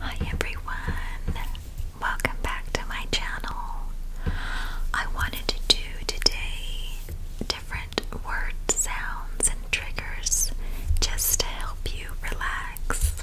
Hi everyone, welcome back to my channel. I wanted to do today different word sounds and triggers just to help you relax.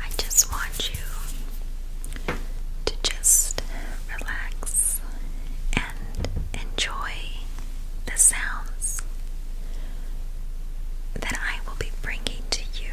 I just want you to just relax and enjoy the sounds that I will be bringing to you.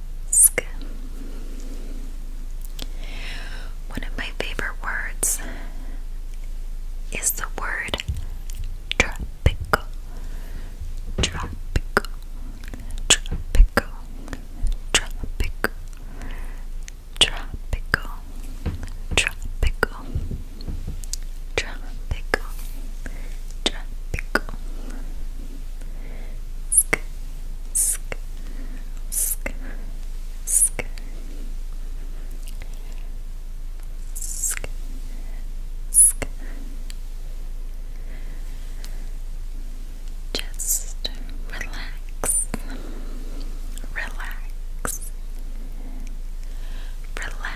One of my favorite words is the word tropical. Tropical. Tropical. Tropical. Tropical. Tropical tropical, tropical. Sk, sk, sk, sk. Sk, sk. Just relax, relax, relax,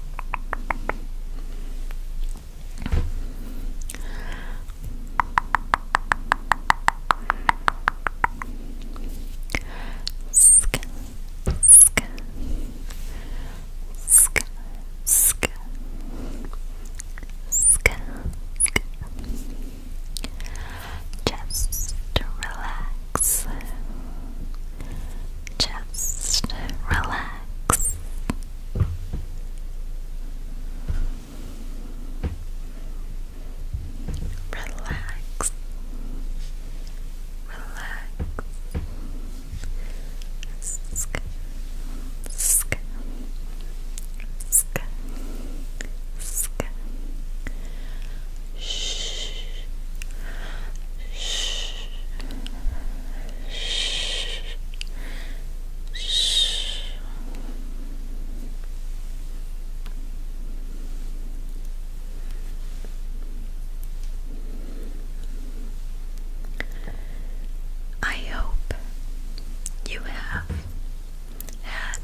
Just to relax relax. Just relax. Relax. Relax. Sk sk sk sk Shh. Shh. Shh. Shh. I hope you have had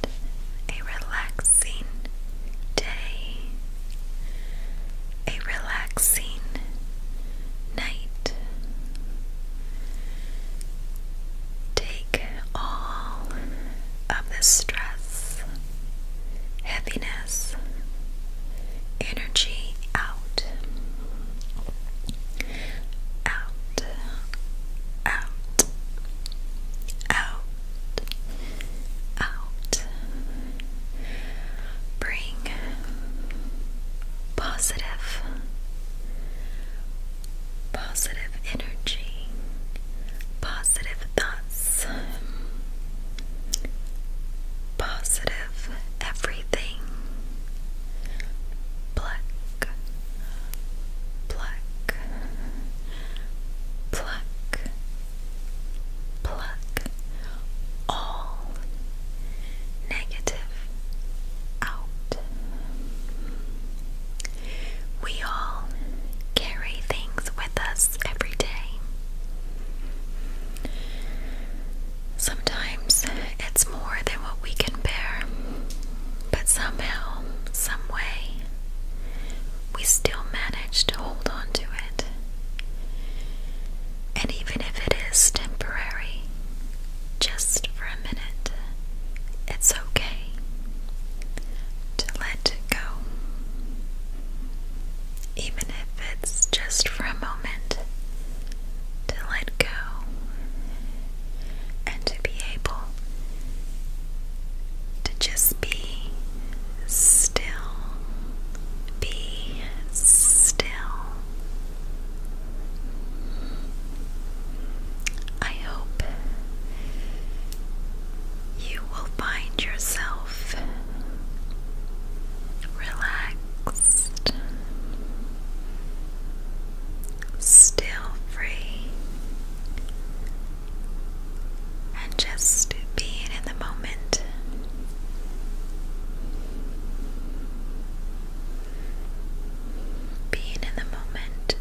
a relaxing day, a relaxing night. Take all of the stress, heaviness, energy out, out, out, out, out. Bring positive, positive energy, positive thoughts, positive everything. Pluck, pluck, pluck, pluck all negative out. We all carry things with us every day. Sometimes it's more than what we can bear. But somehow, some way, we still manage to hold on to it. And even if it is temporary, just for a minute, it's okay to let go. Even if it's just for a moment, to let go and to be able to just be still, be still. I hope you will find yourself relaxed relaxed, still free, and just being in the moment. Being in the moment.